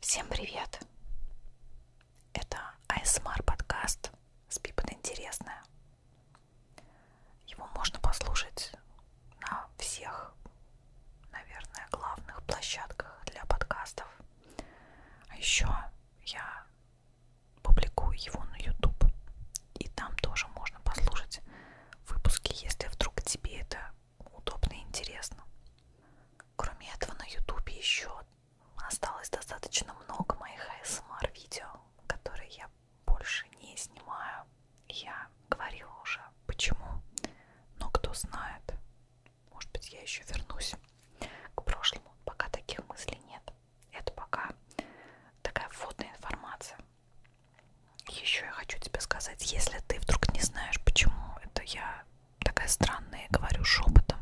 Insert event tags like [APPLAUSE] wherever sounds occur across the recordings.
Всем привет! Это ASMR подкаст «Спи под интересное». Его можно послушать на всех, наверное, главных площадках для подкастов. А еще я публикую его на YouTube. И там тоже можно послушать выпуски, если вдруг тебе это удобно и интересно. Кроме этого, на ютубе еще осталось достаточно много моих ASMR видео, которые я больше не снимаю. Я говорила уже почему, но кто знает, может быть я еще вернусь к прошлому. Пока таких мыслей нет. Это пока такая вводная информация. Еще я хочу тебе сказать, если ты вдруг не знаешь, почему это я такая странная, говорю шепотом,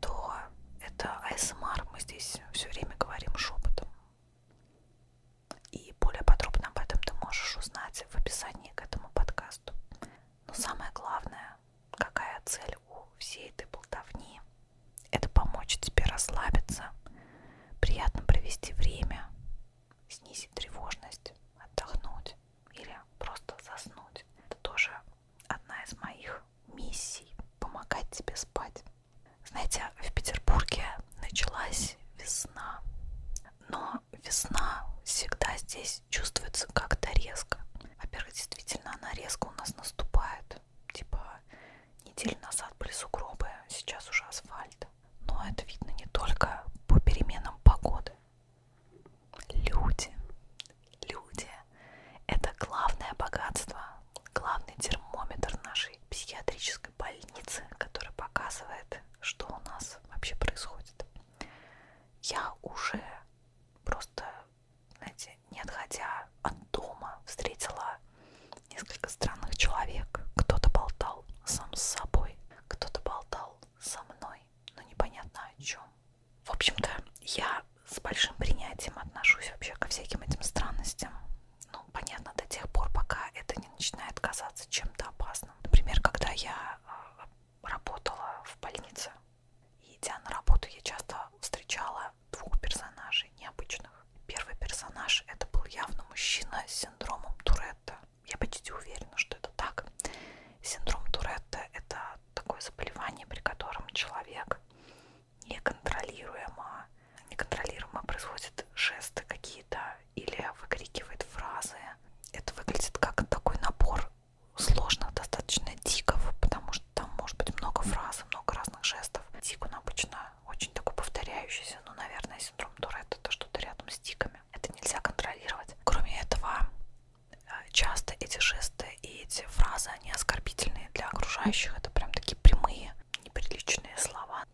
то это АСМР, мы здесь все время говорим шепотом. И более подробно об этом ты можешь узнать в описании к этому подкасту. Но самое главное, какая цель у всей этой болтовни, это помочь тебе расслабиться, приятно провести время, снизить тревожность, отдохнуть или просто заснуть. Это тоже одна из моих миссий – помогать тебе спать. Знаете, в Петербурге началась весна, но весна всегда здесь чувствуется как-то резко. Во-первых, действительно, она резко у нас наступает. Типа неделю назад были сугробы, сейчас уже асфальт. Но это видно не только по переменам погоды. Люди, люди – это главное богатство, главный термометр нашей психиатрической больницы, который показывает, что у нас вообще происходит. Я уже просто, знаете, не отходя от дома, встретила несколько странных человек. Кто-то болтал сам с собой, кто-то болтал со мной, мной, но ну непонятно о чем. В общем-то, я с большим принятием отношусь вообще ко всяким этим странностям. Ну, понятно, до тех пор, пока это не начинает казаться чем-то опасным. Например, когда я э, работала в больнице, и идя на работу, я часто встречала двух персонажей необычных. Первый персонаж это был явно мужчина с синдромом Туретта я почти уверена, что это так. Синдром Туретта – это такое заболевание, при котором человек неконтролируемо, неконтролируемо производит жесты какие-то или выкрикивает фразы. Это выглядит как такой набор сложных достаточно тиков, потому что там может быть много фраз, много разных жестов. Тик, он обычно очень такой повторяющийся, но, наверное, синдром Туретта – это что-то рядом с тиками. Это нельзя контролировать. Кроме этого, часто эти жесты и эти фразы, они оскорбительные для окружающих. Это прям такие прямые, неприличные слова.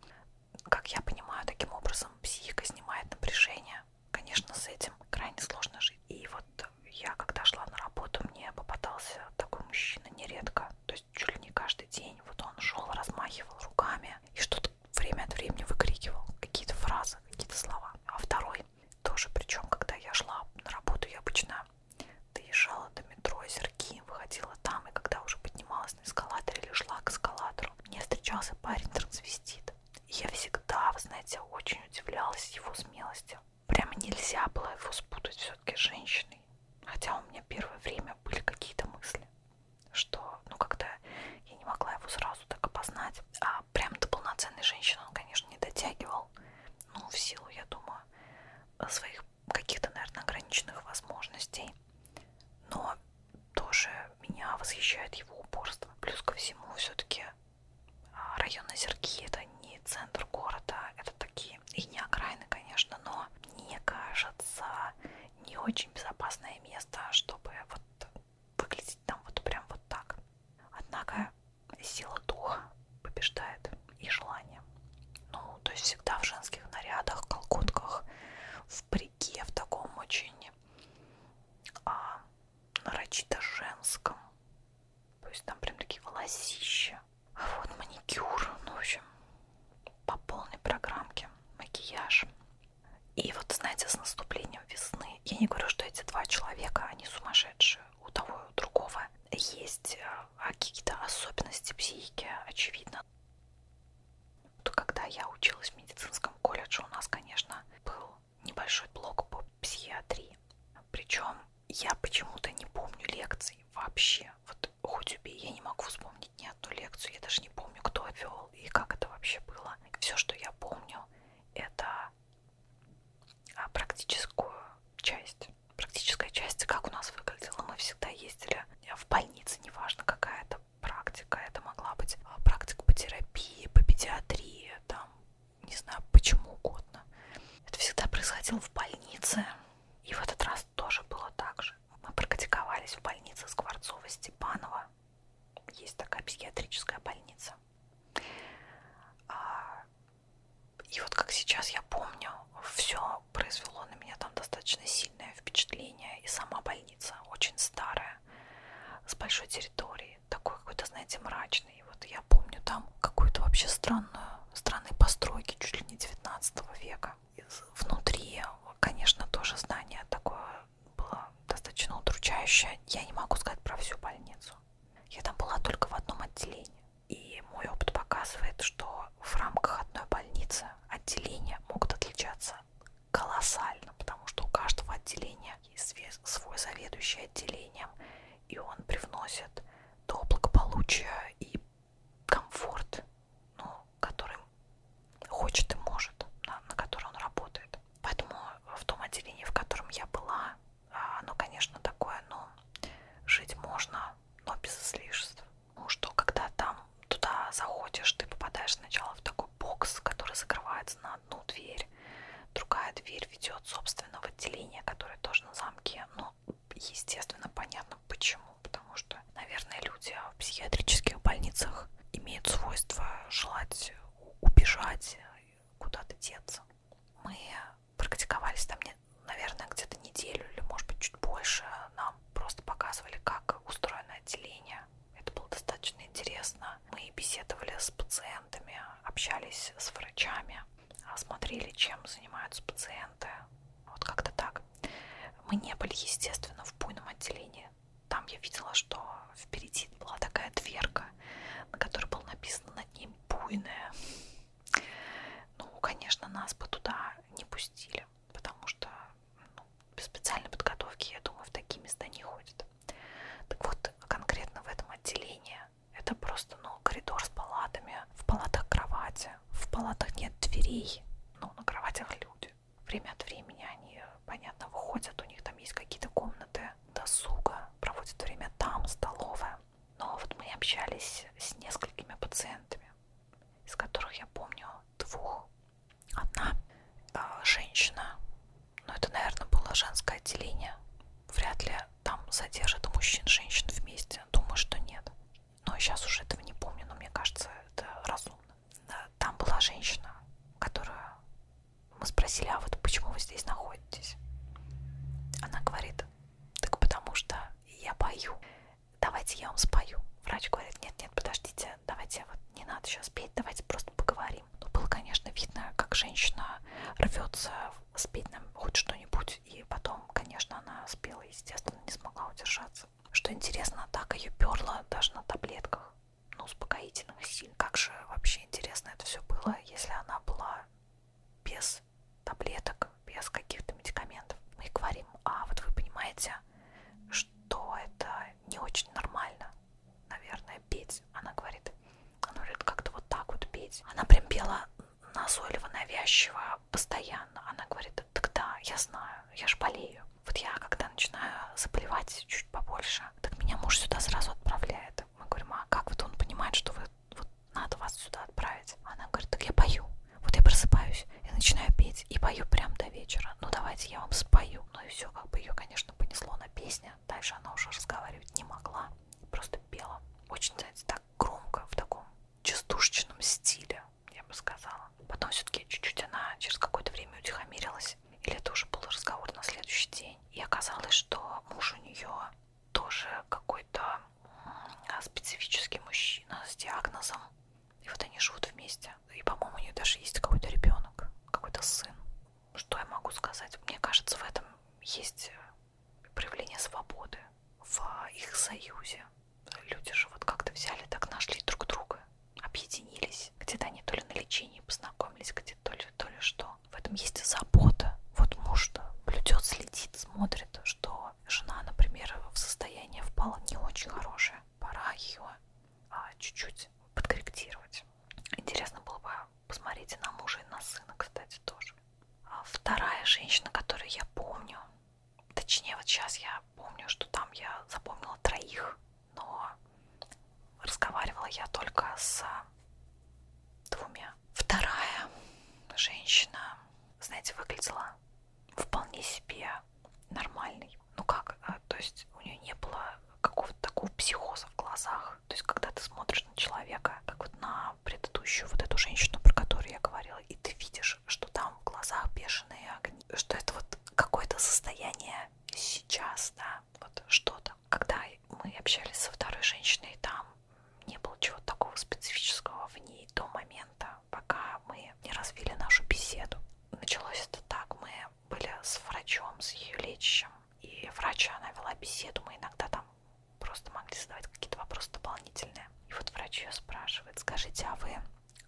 Как я понимаю, таким образом психика снимает напряжение. Конечно, с этим крайне сложно жить. И вот я, когда шла на работу, мне попадался такой мужчина нередко. То есть чуть ли не каждый день. Вот он шел, размахивал руками и что-то время от времени выкрикивал какие-то фразы, какие-то слова. А второй тоже причем, когда я шла на работу, я обычно доезжала до метро Зерки, выходила там, и когда уже поднималась на эскалатор или шла к эскалатору, мне встречался парень трансвестит. И я всегда, вы знаете, очень удивлялась его смелости. Прямо нельзя было его спутать все-таки с женщиной. Хотя у меня первое время были какие-то мысли, что, ну, когда я не могла его сразу так опознать, а а прям до полноценной женщины он, конечно, не дотягивал. Ну, в силу, я думаю, своих каких-то, наверное, ограниченных возможностей. Но тоже меня восхищает его упорство. Плюс ко всему, все-таки а, район Озерки это не центр города, это такие и не окраины, конечно, но мне кажется, не очень безопасное место, чтобы вот выглядеть там вот прям вот так. Однако сила духа побеждает и желание. Ну, то есть всегда в женских нарядах, колготках, в парике, в таком очень а, нарочито женском. То есть там прям такие волосища. А вот маникюр, ну, в общем, по полной программке макияж. И вот, знаете, с наступлением весны, я не говорю, что эти два человека, они сумасшедшие, у того и у другого есть э, какие-то особенности психики, очевидно. Вот когда я училась в медицинском колледже, у нас, конечно, был небольшой блок по психиатрии. Причем я почему-то не помню лекций вообще. Вот хоть убей, я не могу вспомнить ни одну лекцию. Я даже не помню, кто вел и как это вообще было. Все, что я помню, это а практическую часть. Практическая часть, как у нас выглядела, мы всегда ездили в больнице, неважно какая это практика, это могла быть а, практика по терапии, по педиатрии, там, не знаю, почему угодно. Это всегда происходило в больнице, и в этот раз тоже было так же. Мы практиковались в больнице Скворцова-Степанова, есть такая психиатрическая больница. А, и вот как сейчас я помню, все произвело на меня там достаточно сильное впечатление. И сама больница очень старая, с большой территорией, такой какой-то, знаете, мрачный. И вот я помню там какую-то вообще странную, странные постройки чуть ли не 19 века. И внутри, конечно, тоже здание такое было достаточно удручающее. Я не могу сказать про всю больницу. Я там была только в одном отделении. И мой опыт показывает, что в рамках одной больницы отделения могут отличаться колоссально, потому что у каждого отделения есть свой заведующий отделением, и он привносит то благополучие и комфорт, ну, которым хочет и может, на, на который он работает. Поэтому в том отделении, в котором я была, а, оно, конечно, такое, но ну, жить можно, но без излишеств. Ну что, когда там туда заходишь, ты попадаешь сначала в такой бокс, который закрывается на одну дверь. Другая дверь ведет, собственно, в отделение, которое тоже на замке. Но, ну, естественно, понятно почему. Потому что, наверное, люди в психиатрических больницах имеют свойство желать убежать куда-то деться. Мы практиковались там, наверное, где-то неделю или, может быть, чуть больше. Нам просто показывали, как устроено отделение. Это было достаточно интересно. Мы беседовали с пациентами, общались с врачами, смотрели, чем занимаются пациенты. Вот как-то так. Мы не были, естественно, в буйном отделении. Там я видела, что впереди была такая дверка, на которой было написано над ним «Буйная». Ну, конечно, нас бы туда не пустили, потому что ну, без специальной подготовки, я думаю, в такие места не ходят. Так вот, конкретно в этом отделении это просто ну, коридор с палатами, в палатах кровати, в палатах нет дверей, ну, на кроватях люди. Время от времени они, понятно, выходят, у них там есть какие-то комнаты кафе, досуга, проводят время там, столовая. Но ну, а вот мы общались с несколькими пациентами, из которых я помню двух. Одна э, женщина, но ну, это, наверное, было женское отделение. Вряд ли там содержат мужчин и женщин вместе. Думаю, что нет. Но сейчас уже этого не помню, но мне кажется, это разумно. Там была женщина, которая мы спросили, а вот почему вы здесь находитесь? Она говорит, так потому что я пою. Давайте я вам спою. Врач говорит, нет, нет, подождите, давайте вот не надо сейчас петь, давайте просто поговорим. Ну, было, конечно, видно, как женщина рвется спеть нам хоть что-нибудь. И потом, конечно, она спела, естественно, не смогла удержаться. Что интересно, так ее перло даже на таблетках, ну, успокоительных сильно. Как же вообще интересно это все было, если она была без таблеток, без каких-то медикаментов. Мы говорим, а вот вы понимаете, что это не очень нормально, наверное, петь. Она говорит, она говорит, как-то вот так вот петь. Она прям пела назойливо, навязчиво, постоянно. Она говорит, так да, я знаю, я же болею. Вот я, когда начинаю заболевать чуть побольше, так меня муж сюда сразу отправляет концерт. Мы говорим, а как вот он понимает, что вы, вот надо вас сюда отправить? Она говорит, так я пою. Вот я просыпаюсь и начинаю петь, и пою прям до вечера. Ну давайте я вам спою. Ну и все, как бы ее, конечно, понесло на песня. Дальше она уже разговаривать не могла, просто пела. Очень, знаете, так громко, в таком частушечном стиле, я бы сказала. Потом все-таки чуть-чуть она через какое-то время утихомирилась. Или это уже был разговор на следующий день. И оказалось, что муж у нее тоже какой-то а, специфический мужчина с диагнозом. И вот они живут вместе. И, по-моему, у нее даже есть какой-то ребенок, какой-то сын. Что я могу сказать? Мне кажется, в этом есть э, проявление свободы в их союзе. Люди же вот как-то взяли, так нашли друг друга, объединились. Где-то они то ли на лечении познакомились, гладит, то ли, то ли что. В этом есть и забота. Вот муж-то блюдет, следит, смотрит, что жена, например, в состоянии впала не очень хорошее. Пора ее а, чуть-чуть подкорректировать. Интересно было бы посмотреть и на мужа, и на сына, кстати, тоже. А вторая женщина, которую я помню, точнее, вот сейчас я помню, что там я запомнила троих, но разговаривала я только с двумя. Вторая женщина, знаете, выглядела вполне себе нормальной. Ну как, э, то есть у нее не было какого-то такого психоза в глазах. То есть когда ты смотришь на человека, как вот на предыдущую вот эту женщину, про которую я говорила, и ты видишь, что там в глазах бешеные огни, что это вот какое-то состояние сейчас, да, вот что-то когда мы общались со второй женщиной, там не было чего-то такого специфического в ней до момента, пока мы не развили нашу беседу. Началось это так, мы были с врачом, с ее лечащим, и врач, она вела беседу, мы иногда там просто могли задавать какие-то вопросы дополнительные. И вот врач ее спрашивает, скажите, а вы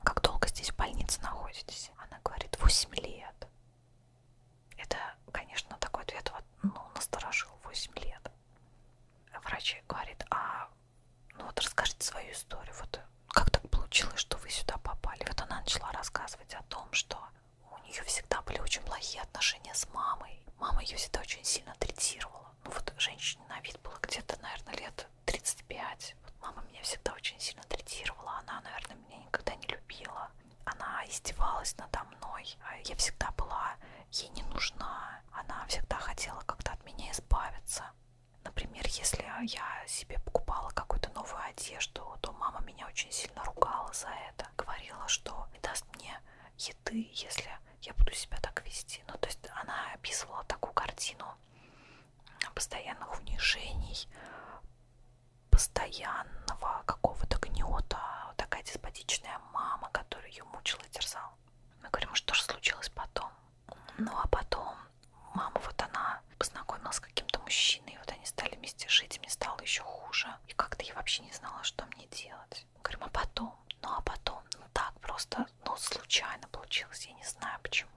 как долго здесь в больнице находитесь? Она говорит, 8 лет. Это, конечно, такой ответ вот, ну, насторожил 8 лет. Врач говорит, а ну вот расскажите свою историю, вот как так получилось, что вы сюда попали? Вот она начала рассказывать о том, что у нее всегда были очень плохие отношения с мамой. Мама ее всегда очень сильно третировала. Ну вот женщине на вид было где-то, наверное, лет 35. Вот мама меня всегда очень сильно третировала. Она, наверное, меня никогда не любила она издевалась надо мной. Я всегда была ей не нужна. Она всегда хотела как-то от меня избавиться. Например, если я себе покупала какую-то новую одежду, то мама меня очень сильно ругала за это. Говорила, что не даст мне еды, если я буду себя так вести. Ну, то есть она описывала такую картину постоянных унижений, постоянного какого-то гнета. Вот такая деспотичная мама, которую ее мучила и терзала. Мы говорим, «А что же случилось потом? Ну а потом мама, вот она познакомилась с каким-то мужчиной, и вот они стали вместе жить, и мне стало еще хуже. И как-то я вообще не знала, что мне делать. Мы говорим, а потом? Ну а потом? Ну так просто, ну случайно получилось, я не знаю почему.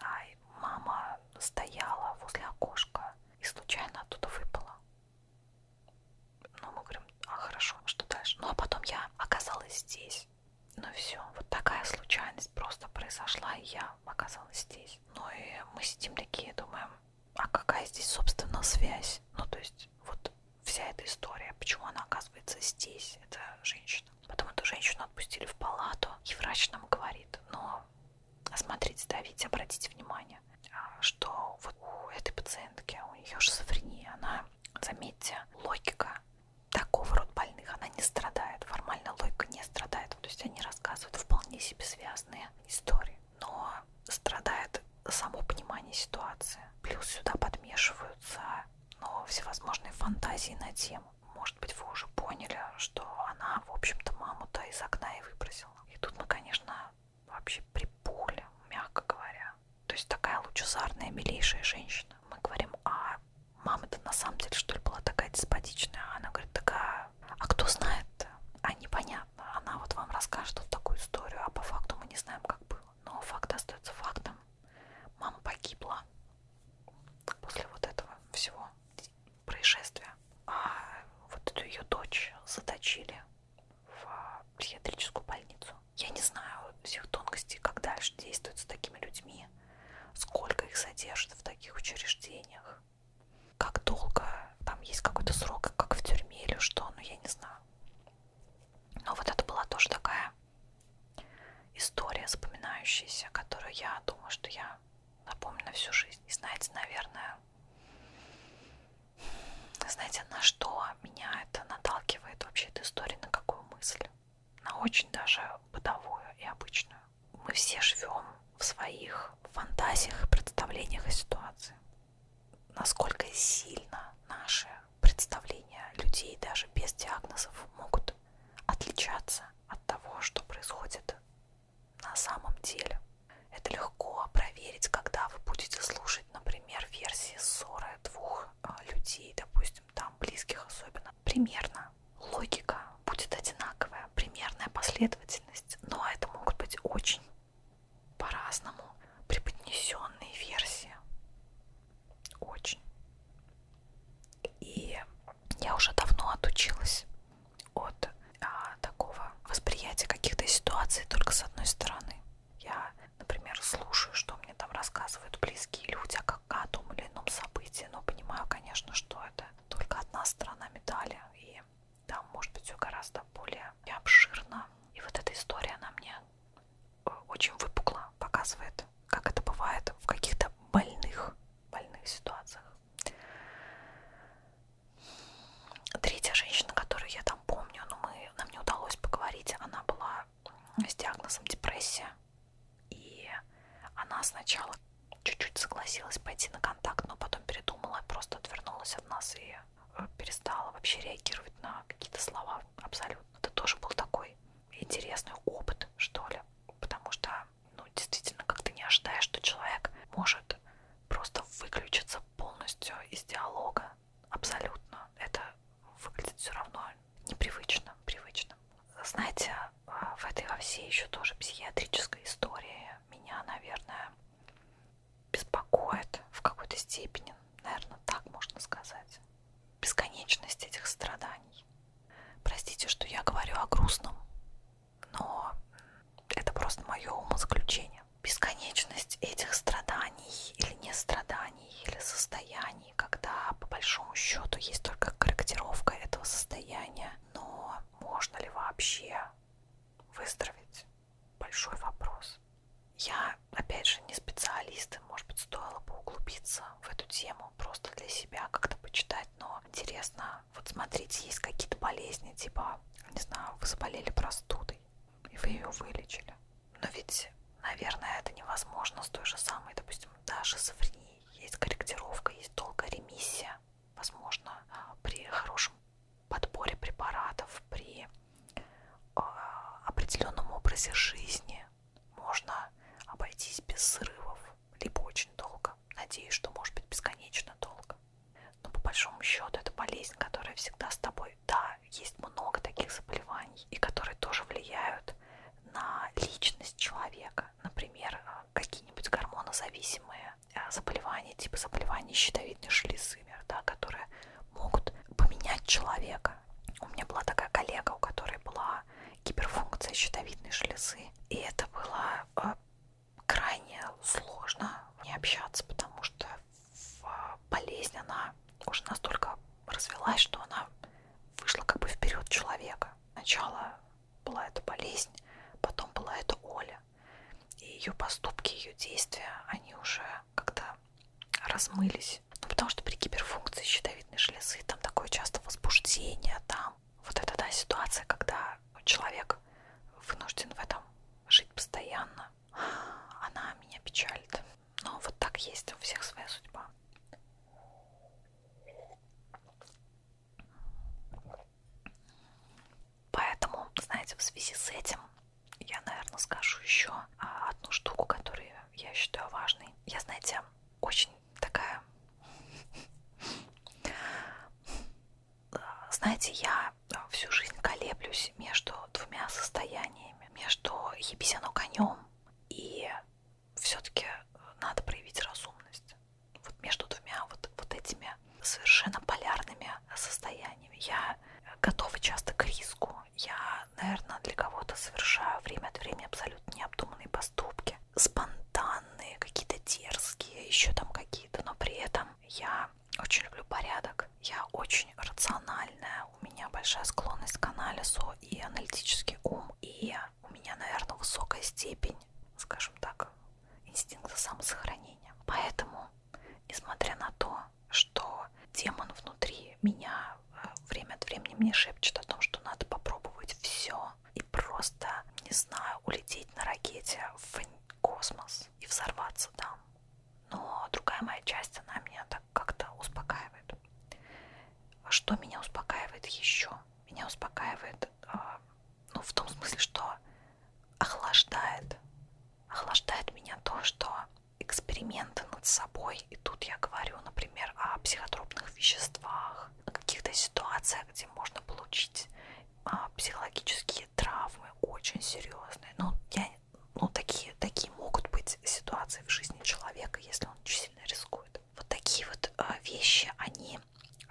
Ай, мама стояла возле окошка и случайно оттуда выпала. Ну, мы говорим, а хорошо, что дальше? Ну, а потом я оказалась здесь. Ну все, вот такая случайность просто произошла, и я оказалась здесь. Ну и мы сидим такие, думаем, а какая здесь, собственно, связь? Ну, то есть, вот вся эта история, почему она оказывается здесь, эта женщина. Потом эту женщину отпустили в палату, и врач нам говорит, но «Ну, смотрите, Давид, обратите внимание, внимание, что вот у этой пациентки, у нее шизофрения, она, заметьте, логика такого рода больных, она не страдает, формально логика не страдает, то есть они рассказывают вполне себе связанные истории, но страдает само понимание ситуации, плюс сюда подмешиваются но ну, всевозможные фантазии на тему. Может быть, вы уже поняли, что она, в общем-то, маму-то из окна и выбросила. И тут мы, конечно, вообще припухли, мягко говоря. То есть такая лучезарная, милейшая женщина. Мы говорим, а мама-то на самом деле, что ли, была такая деспотичная? А она говорит, такая, а кто знает? А непонятно. Она вот вам расскажет вот такую историю, а по факту мы не знаем, как было. Но факт остается фактом. Мама погибла после вот этого всего происшествия. А вот эту ее дочь заточили в психиатрическую больницу. Я не знаю всех тонкостей, как дальше действуют с такими людьми, сколько их содержат в таких учреждениях, как долго там есть какой-то срок, как в тюрьме или что, ну я не знаю. Но вот это была тоже такая история запоминающаяся, которую я думаю, что я запомню на всю жизнь. И знаете, наверное, знаете, на что меня это наталкивает вообще эта история, на какую мысль? На очень даже бытовую и обычную. Мы все живем в своих фантазиях, представлениях о ситуации. Насколько сильно наши представления людей даже без диагнозов могут отличаться от того, что происходит на самом деле. Это легко проверить, когда вы будете слушать, например, версии ссоры двух а, людей, допустим, там близких особенно. Примерно логика будет одинаковая, примерная последовательность, но это могут быть очень по-разному преподнесенные версии. Очень. И я уже давно отучилась от а, такого восприятия каких-то ситуаций только с одной стороны. Я, например, слушаю, что мне там рассказывают близкие люди о, как, о том или ином событии, но понимаю, конечно, что это только одна сторона медали, и там может быть все гораздо более обширно. И вот эта история, она мне э, очень выпукла, показывает, как это бывает в каких-то больных, больных ситуациях. Третья женщина, которую я там помню, но мы, нам не удалось поговорить, она была с диагнозом депрессия. И она сначала чуть-чуть согласилась пойти на контакт, но потом передумала, просто отвернулась от нас и э, перестала вообще реагировать на какие-то слова абсолютно. Это тоже был такой интересный опыт, что ли, потому что, ну, действительно, как ты не ожидаешь, что человек может просто выключиться полностью из диалога абсолютно. Это выглядит все равно непривычно, привычно. Знаете, а, в этой во всей еще тоже психиатрической истории меня, наверное, беспокоит в какой-то степени, наверное, так можно сказать, бесконечность этих страданий. Простите, что я говорю о грустном, но это просто мое умозаключение бесконечность этих страданий или не страданий, или состояний, когда по большому счету есть только корректировка этого состояния, но можно ли вообще выздороветь? Большой вопрос. Я, опять же, не специалист, может быть, стоило бы углубиться в эту тему просто для себя, как-то почитать, но интересно, вот смотрите, есть какие-то болезни, типа, не знаю, вы заболели простудой, и вы ее вылечили. Но ведь, наверное, это невозможно с той же самой, допустим, да, шизофренией. Есть корректировка, есть долгая ремиссия. Возможно, при хорошем подборе препаратов, при э, определенном образе жизни можно обойтись без срывов, либо очень долго. Надеюсь, что может быть бесконечно долго. Но по большому счету это болезнь, которая всегда с тобой собой. Да, есть много таких заболеваний, и которые тоже влияют на личность человека. Например, э, какие-нибудь гормонозависимые э, заболевания, типа заболеваний щитовидной железы, да, которые могут поменять человека. У меня была такая коллега, у которой была гиперфункция щитовидной железы, и это было э, крайне сложно не общаться, потому что болезнь, она уже настолько развелась, что она вышла как бы вперед человека. Сначала была эта болезнь, потом была эта Оля. И ее поступки, ее действия, они уже как-то размылись. Ну, потому что при гиперфункции щитовидной железы там такое часто возбуждение, там вот эта да, ситуация, когда человек вынужден в этом жить постоянно, она меня печалит. Но ну, вот так есть, у всех своя судьба. Поэтому, знаете, в связи с этим я, наверное, скажу еще а, одну штуку, которую я считаю важной. Я, знаете, очень такая... [LAUGHS] Знаете, я всю жизнь колеблюсь между двумя состояниями вариантами между ебесяно конем и все-таки надо проявить разумность. Вот между двумя вот, вот этими совершенно полярными состояниями. Я готова часто к риску. Я, наверное, для кого-то совершаю время от времени абсолютно необдуманные поступки. Спонтанные, какие-то дерзкие, еще там какие-то. Но при этом я очень люблю порядок, я очень рациональная, у меня большая склонность к анализу и аналитический ум, и у меня, наверное, высокая степень, скажем так, инстинкта самосохранения. Поэтому, несмотря на то, что демон внутри меня э, время от времени мне шепчет о том, что надо попробовать все и просто, не знаю, улететь на ракете в космос и взорваться там но другая моя часть, она меня так как-то успокаивает. Что меня успокаивает еще? Меня успокаивает, а, ну, в том смысле, что охлаждает, охлаждает меня то, что эксперименты над собой, и тут я говорю, например, о психотропных веществах, о каких-то ситуациях, где можно получить а, психологические травмы очень серьезные. Ну, я ну, такие, такие могут быть ситуации в жизни человека, если он очень сильно рискует. Вот такие вот э, вещи, они,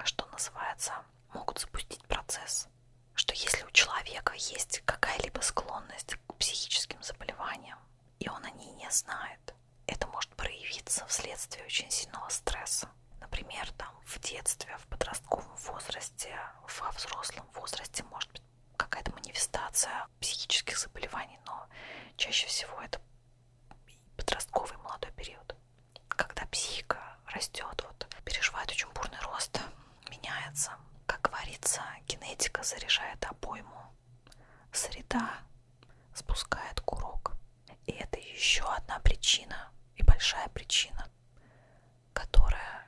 что называется, могут запустить процесс. Что если у человека есть какая-либо склонность к психическим заболеваниям, и он о ней не знает, это может проявиться вследствие очень сильного стресса. Например, там в детстве, в подростковом возрасте, во взрослом возрасте может быть какая-то манифестация психических заболеваний, но чаще всего это подростковый молодой период, когда психика растет, вот, переживает очень бурный рост, меняется. Как говорится, генетика заряжает обойму, среда спускает курок. И это еще одна причина, и большая причина, которая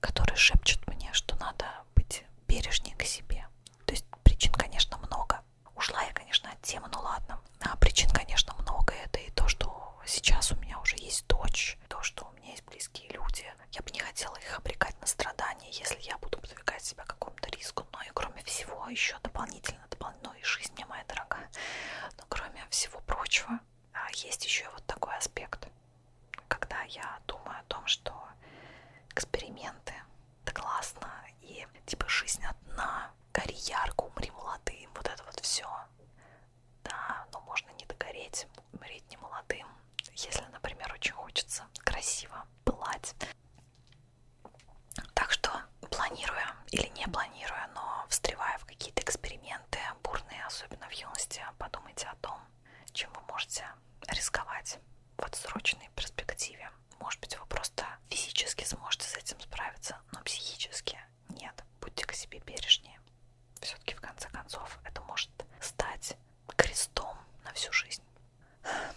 которые шепчут мне, что надо быть бережнее к себе. То есть причин, конечно, много. Ушла я, конечно, от темы, ну ладно. А причин, конечно, много. Это и то, что сейчас у меня уже есть дочь, то, что у меня есть близкие люди. Я бы не хотела их обрекать на страдания, если я буду подвергать себя какому-то риску. Но ну и кроме всего, еще дополнительно, дополнительно, ну и жизнь мне моя дорогая. Но кроме всего прочего, а, есть еще вот такой аспект когда я думаю о том, что эксперименты это классно, и типа жизнь одна, гори ярко, умри молодым, вот это вот все. Да, но можно не догореть, умереть не молодым, если, например, очень хочется красиво пылать. Так что планируя или не планируя, но встревая в какие-то эксперименты бурные, особенно в юности, подумайте о том, чем вы можете рисковать в отсроченной перспективе. Может быть, вы просто физически сможете с этим справиться, но психически нет. Будьте к себе бережнее. Все-таки, в конце концов, это может стать крестом на всю жизнь.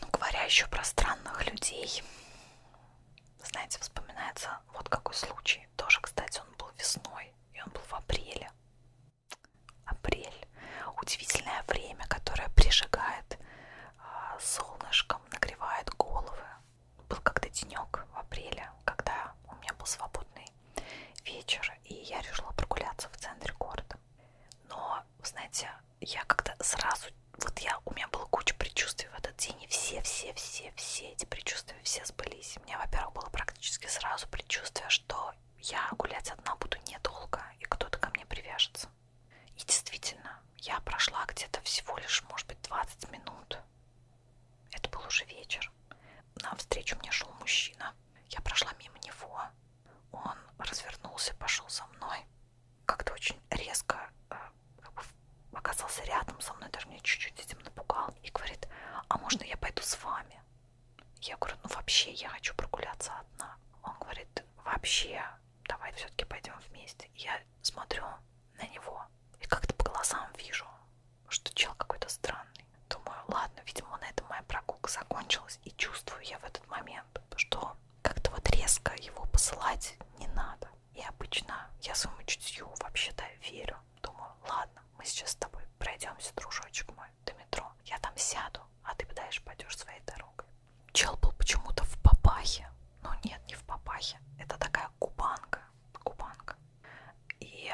Ну, говоря еще про странных людей, знаете, вспоминается вот какой случай. Тоже, кстати, он был весной, и он был в апреле апрель. Удивительное время, которое прижигает а, солнышком, нагревает головы. Был как-то денек в апреле, когда у меня был свободный вечер, и я решила прогуляться в центре города. Но, знаете, я как-то сразу, вот я, у меня было куча предчувствий в этот день, и все-все-все-все эти предчувствия все сбылись. У меня, во-первых, было практически сразу предчувствие, что я гулять одна буду недолго, и кто-то ко мне привяжется. И действительно, я прошла где-то всего лишь, может быть, 20 минут. Это был уже вечер. На встречу мне шел мужчина. Я прошла мимо него. Он развернулся, пошел за мной. Как-то очень резко э, как бы оказался рядом со мной, даже меня чуть-чуть этим напугал. И говорит, а можно я пойду с вами? Я говорю, ну вообще я хочу прогуляться одна. Он говорит, вообще, давай все-таки пойдем вместе. Я смотрю на него и как-то по глазам вижу, что чел какой-то странный. Думаю, ладно, видимо, на этом моя прогулка закончилась. И чувствую я в этот момент, что как-то вот резко его посылать не надо. И обычно я своему чутью вообще-то верю. Думаю, ладно, мы сейчас с тобой пройдемся, дружочек мой до метро. Я там сяду, а ты дальше пойдешь своей дорогой. Чел был почему-то в папахе. Ну нет, не в папахе. Это такая кубанка. Кубанка. И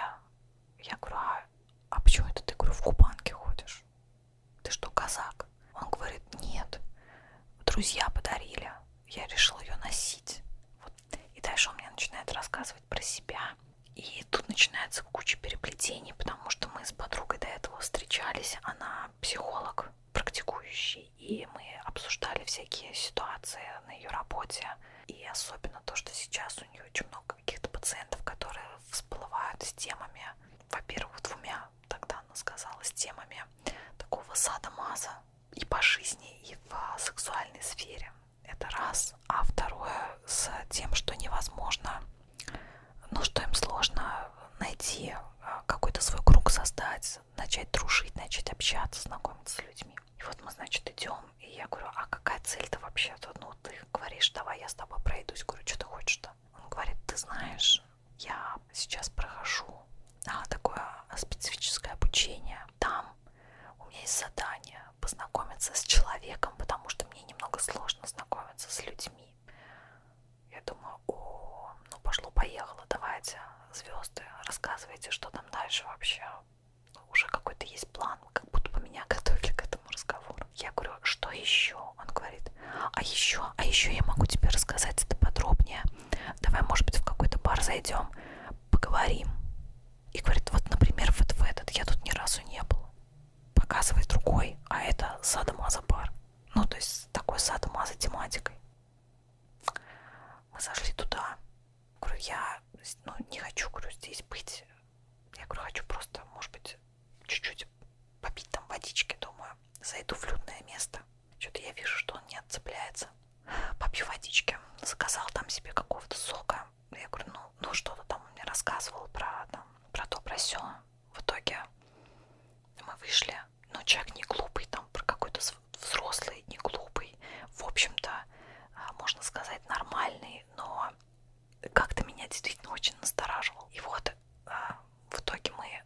я говорю, а, а почему это ты, говорю, в кубанке ходишь? Ты что, казак? Он говорит, нет, друзья подарили. Я решила ее носить. Вот. И дальше он мне начинает рассказывать про себя, и тут начинается куча переплетений, потому что мы с подругой до этого встречались, она психолог практикующий, и мы обсуждали всякие ситуации на ее работе, и особенно то, что сейчас у нее очень много каких-то пациентов, которые всплывают с темами, во-первых, двумя, тогда она сказала, с темами такого садомаза и по жизни, и в сексуальной сфере. Это раз. А второе, с тем, что невозможно ну, что им сложно найти а, какой-то свой круг создать, начать дружить, начать общаться, знакомиться с людьми. И вот мы, значит, идем, и я говорю, а какая цель-то вообще-то? Ну, ты говоришь, давай я с тобой пройдусь. Говорю, что ты хочешь-то? Он говорит, ты знаешь, я сейчас прохожу да, такое специфическое обучение. Там у меня есть задание познакомиться с человеком, потому что мне немного сложно знакомиться с людьми семьи. Я думаю, о, ну пошло-поехало, давайте, звезды, рассказывайте, что там дальше вообще. Ну, уже какой-то есть план, как будто бы меня [LAUGHS] готовили к этому разговору. Я говорю, что еще? Он говорит, а еще, а еще я могу тебе рассказать это подробнее. Давай, может быть, в какой-то бар зайдем, поговорим. И говорит, вот, например, вот в этот, я тут ни разу не был показывает другой, а это садомаза бар. Ну, то есть с такой садомаза тематикой. Мы зашли туда. Говорю, я ну, не хочу, говорю, здесь быть. Я говорю, хочу просто, может быть, чуть-чуть попить там водички, думаю. Зайду в людное место. Что-то я вижу, что он не отцепляется. Попью водички. Заказал там себе какого-то сока. Я говорю, ну, ну что-то там он мне рассказывал про, там, про то, про сё в итоге мы вышли, но ну, человек не глупый, там про какой-то взрослый, не глупый, в общем-то, а, можно сказать, нормальный, но как-то меня действительно очень настораживал. И вот а, в итоге мы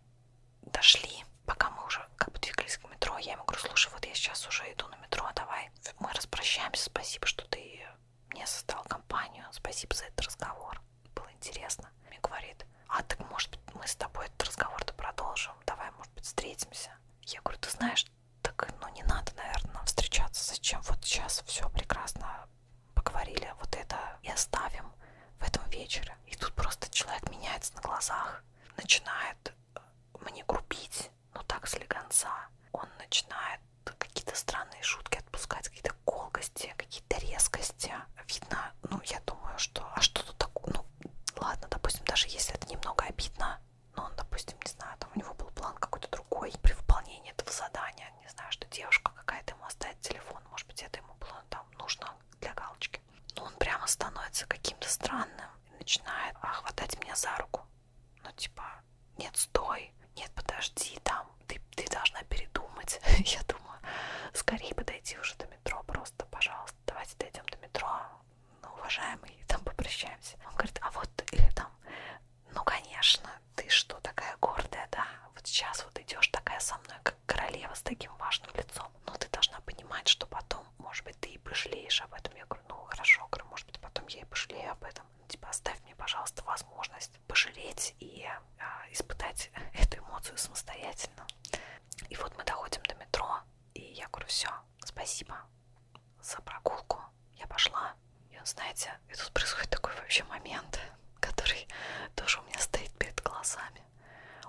дошли, пока мы уже как бы двигались к метро, я ему говорю, слушай, вот я сейчас уже иду на метро, давай мы распрощаемся, спасибо, что ты мне создал компанию. Спасибо за этот разговор. Было интересно. Мне говорит, а так может быть мы с тобой этот разговор-то продолжим? Давай, может быть, встретимся. Я говорю, ты знаешь, так ну не надо, наверное, нам встречаться. Зачем? Вот сейчас все прекрасно поговорили. Вот это и оставим в этом вечере. И тут просто человек меняется на глазах, начинает э, мне грубить, ну так слегонца. Он начинает какие-то странные шутки отпускать, какие-то колкости, какие-то резкости. Видно, ну, я думаю, что... А что тут такое? Ну, ладно, допустим, даже если это немного обидно, но он, допустим, не знаю, там у него был план какой-то другой при выполнении этого задания, не знаю, что девушка какая-то ему оставит телефон, может быть, это ему было там нужно для галочки. Но он прямо становится каким-то странным и начинает а, хватать меня за руку. Ну, типа, нет, стой, нет, подожди, там, ты, ты должна передумать, [LAUGHS] я думаю, скорее подойти уже до метро, просто, пожалуйста, давайте дойдем до метро, ну, уважаемый, там попрощаемся. Он говорит, а вот, или там, ну, конечно, ты что, такая гордая, да, вот сейчас вот идешь такая со мной, как королева с таким важным лицом, но ну, ты должна понимать, что потом, может быть, ты и пожалеешь об этом. Я говорю, ну, хорошо, говорю, может быть, потом я и пожалею об этом, ну, типа, оставь мне, пожалуйста, возможность возможность пожалеть и а, испытать [LAUGHS] эту эмоцию самостоятельно. И вот мы доходим до метро, и я говорю, все, спасибо за прогулку, я пошла. И знаете, и тут происходит такой вообще момент, [LAUGHS] который тоже у меня стоит перед глазами.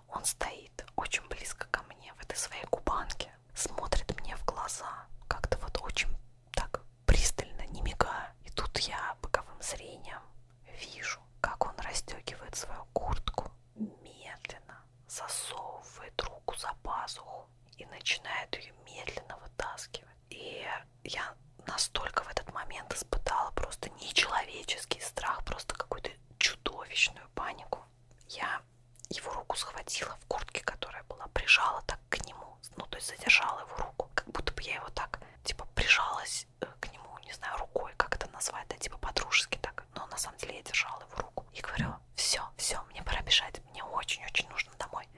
Он стоит очень близко ко мне в этой своей кубанке, смотрит мне в глаза, как-то вот очень так пристально, не мигая. И тут я боковым зрением вижу, как он расстегивает свою куртку, медленно засовывает руку за пазуху и начинает ее медленно вытаскивать. И я настолько в этот момент испытала просто нечеловеческий страх, просто какую-то чудовищную панику. Я его руку схватила в куртке, которая была, прижала так к нему, ну, то есть задержала его руку, как будто бы я его так, типа, прижалась тянулась э, к нему, не знаю, рукой, как это назвать, да, типа подружески так, но на самом деле я держала его руку и говорила, все, все, мне пора бежать, мне очень-очень нужно домой.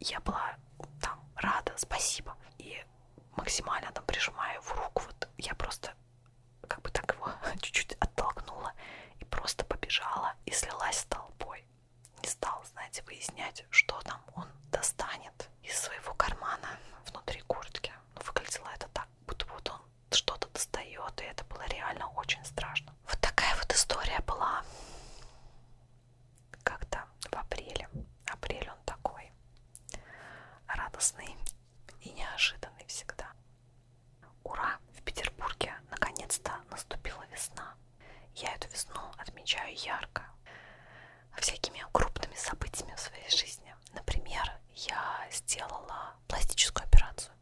Я была там рада, спасибо. И максимально там прижимая его руку, вот я просто как бы так его [LAUGHS] чуть-чуть оттолкнула и просто побежала и слилась с толпой. Не стал, знаете, выяснять, что там он достанет, из своего кармана внутри куртки. Но ну, выглядело это так, будто вот он что-то достает, и это было реально очень страшно. Вот такая вот история была когда в апреле. Апрель он такой радостный и неожиданный всегда. Ура! В Петербурге наконец-то наступила весна. Я эту весну отмечаю ярко всякими крупными событиями в своей жизни. Например, я сделала пластическую операцию.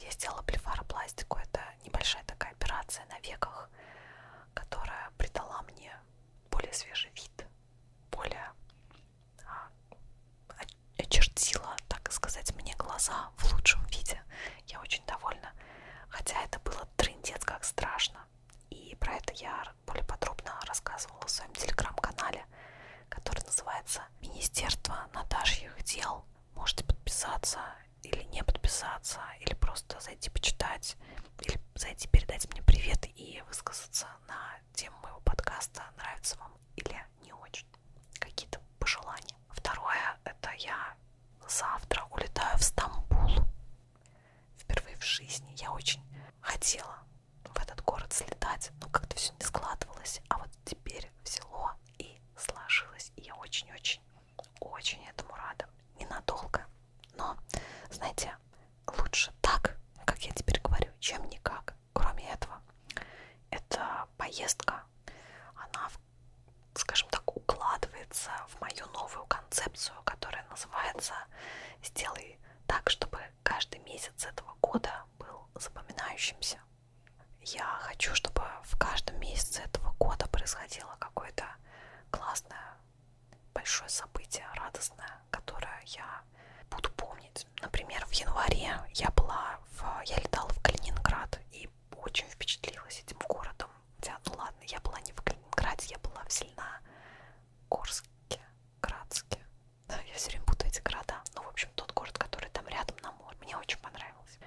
Я сделала блефаропластику. Это небольшая такая операция на веках, которая придала мне более свежий вид, более а, очертила, так сказать, мне глаза в лучшем виде. Я очень довольна. Хотя это было трындец как страшно. И про это я более подробно рассказывала в своем телеграм-канале, который называется «Министерство Наташьих дел». Можете подписаться или не подписаться, или просто зайти почитать, или зайти передать мне привет и высказаться на тему моего подкаста, нравится вам или не очень. Какие-то пожелания. Второе, это я завтра улетаю в Стамбул Впервые в жизни я очень хотела в этот город слетать, но как-то все не складывалось, а вот теперь взяло и сложилось, и я очень-очень, очень этому рада. Ненадолго, но, знаете, лучше так, как я теперь говорю, чем никак. Кроме этого, эта поездка, она, скажем так, укладывается в мою новую концепцию, которая называется года. Сделай так, чтобы каждый месяц этого года был запоминающимся. Я хочу, чтобы в каждом месяце этого года происходило какое-то классное, большое событие, радостное, которое я буду помнить. Например, в январе я была в, я летала в Калининград и очень впечатлилась этим городом. Хотя, ну ладно, я была не в Калининграде, я была в Зеленогорске, Градске. Да, я все время путаю эти города. Ну, в общем, тот город, который там рядом на море. Мне очень понравилось.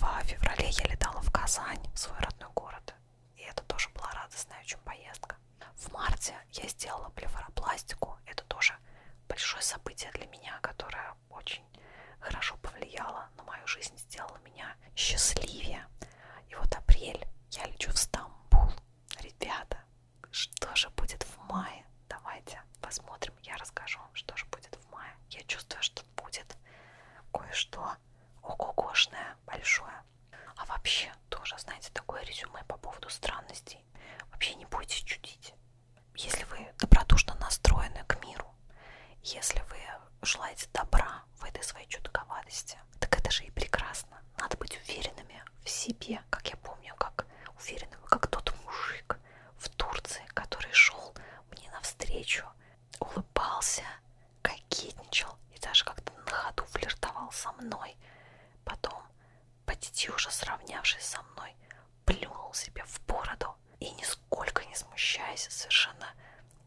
В феврале я летала в Казань, в свой родной город. И это тоже была радостная очень поездка. В марте я сделала блефаропластику. Это тоже большое событие для меня, которое очень хорошо повлияло на мою жизнь, сделало меня счастливее. И вот апрель, я лечу в Стамбул. Ребята, что же будет в мае? Давайте посмотрим, я расскажу вам, что же будет в мае. Я чувствую, что будет кое-что ого-гошное, большое. А вообще, тоже, знаете, такое резюме по поводу странностей. Вообще не бойтесь чудить. Если вы добродушно настроены к миру, если вы желаете добра, в этой своей чутковатости. Так это же и прекрасно. Надо быть уверенными в себе, как я помню, как уверенным, как тот мужик в Турции, который шел мне навстречу, улыбался, кокетничал и даже как-то на ходу флиртовал со мной. Потом, почти уже сравнявшись со мной, плюнул себе в бороду и, нисколько не смущаясь, совершенно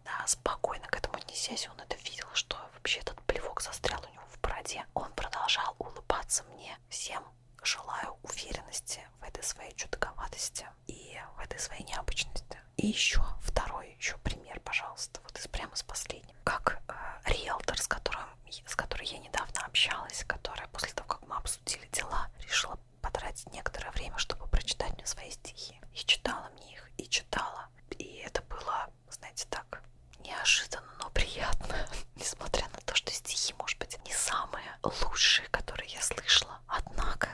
да, спокойно к этому отнесясь, он это видел, что вообще этот плевок застрял у него в бороде. Он продолжал улыбаться мне всем, желаю уверенности в этой своей чудаковатости и в этой своей необычности. И еще второй еще пример, пожалуйста, вот из прямо с последним. Как э, риэлтор, с которым с которой я недавно общалась, которая после того, как мы обсудили дела, решила потратить некоторое время, чтобы прочитать мне свои стихи. И читала мне их, и читала. И это было было, знаете, так неожиданно, но приятно, [LAUGHS] несмотря на то, что стихи, может быть, не самые лучшие, которые я слышала. Однако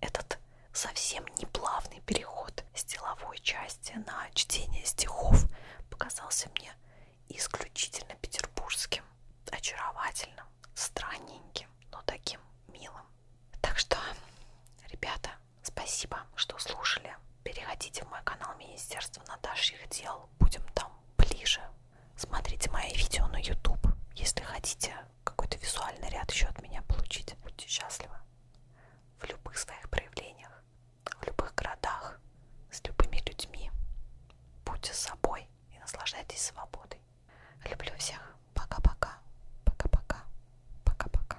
этот совсем неплавный переход с деловой части на чтение стихов показался мне исключительно петербургским, очаровательным, странненьким, но таким милым. Так что, ребята, Спасибо, что слушали. Переходите в мой канал Министерства Наташьих дел. Будем там ближе. Смотрите мои видео на YouTube, если хотите какой-то визуальный ряд еще от меня получить. Будьте счастливы в любых своих проявлениях, в любых городах, с любыми людьми. Будьте собой и наслаждайтесь свободой. Люблю всех. Пока-пока. Пока-пока. Пока-пока.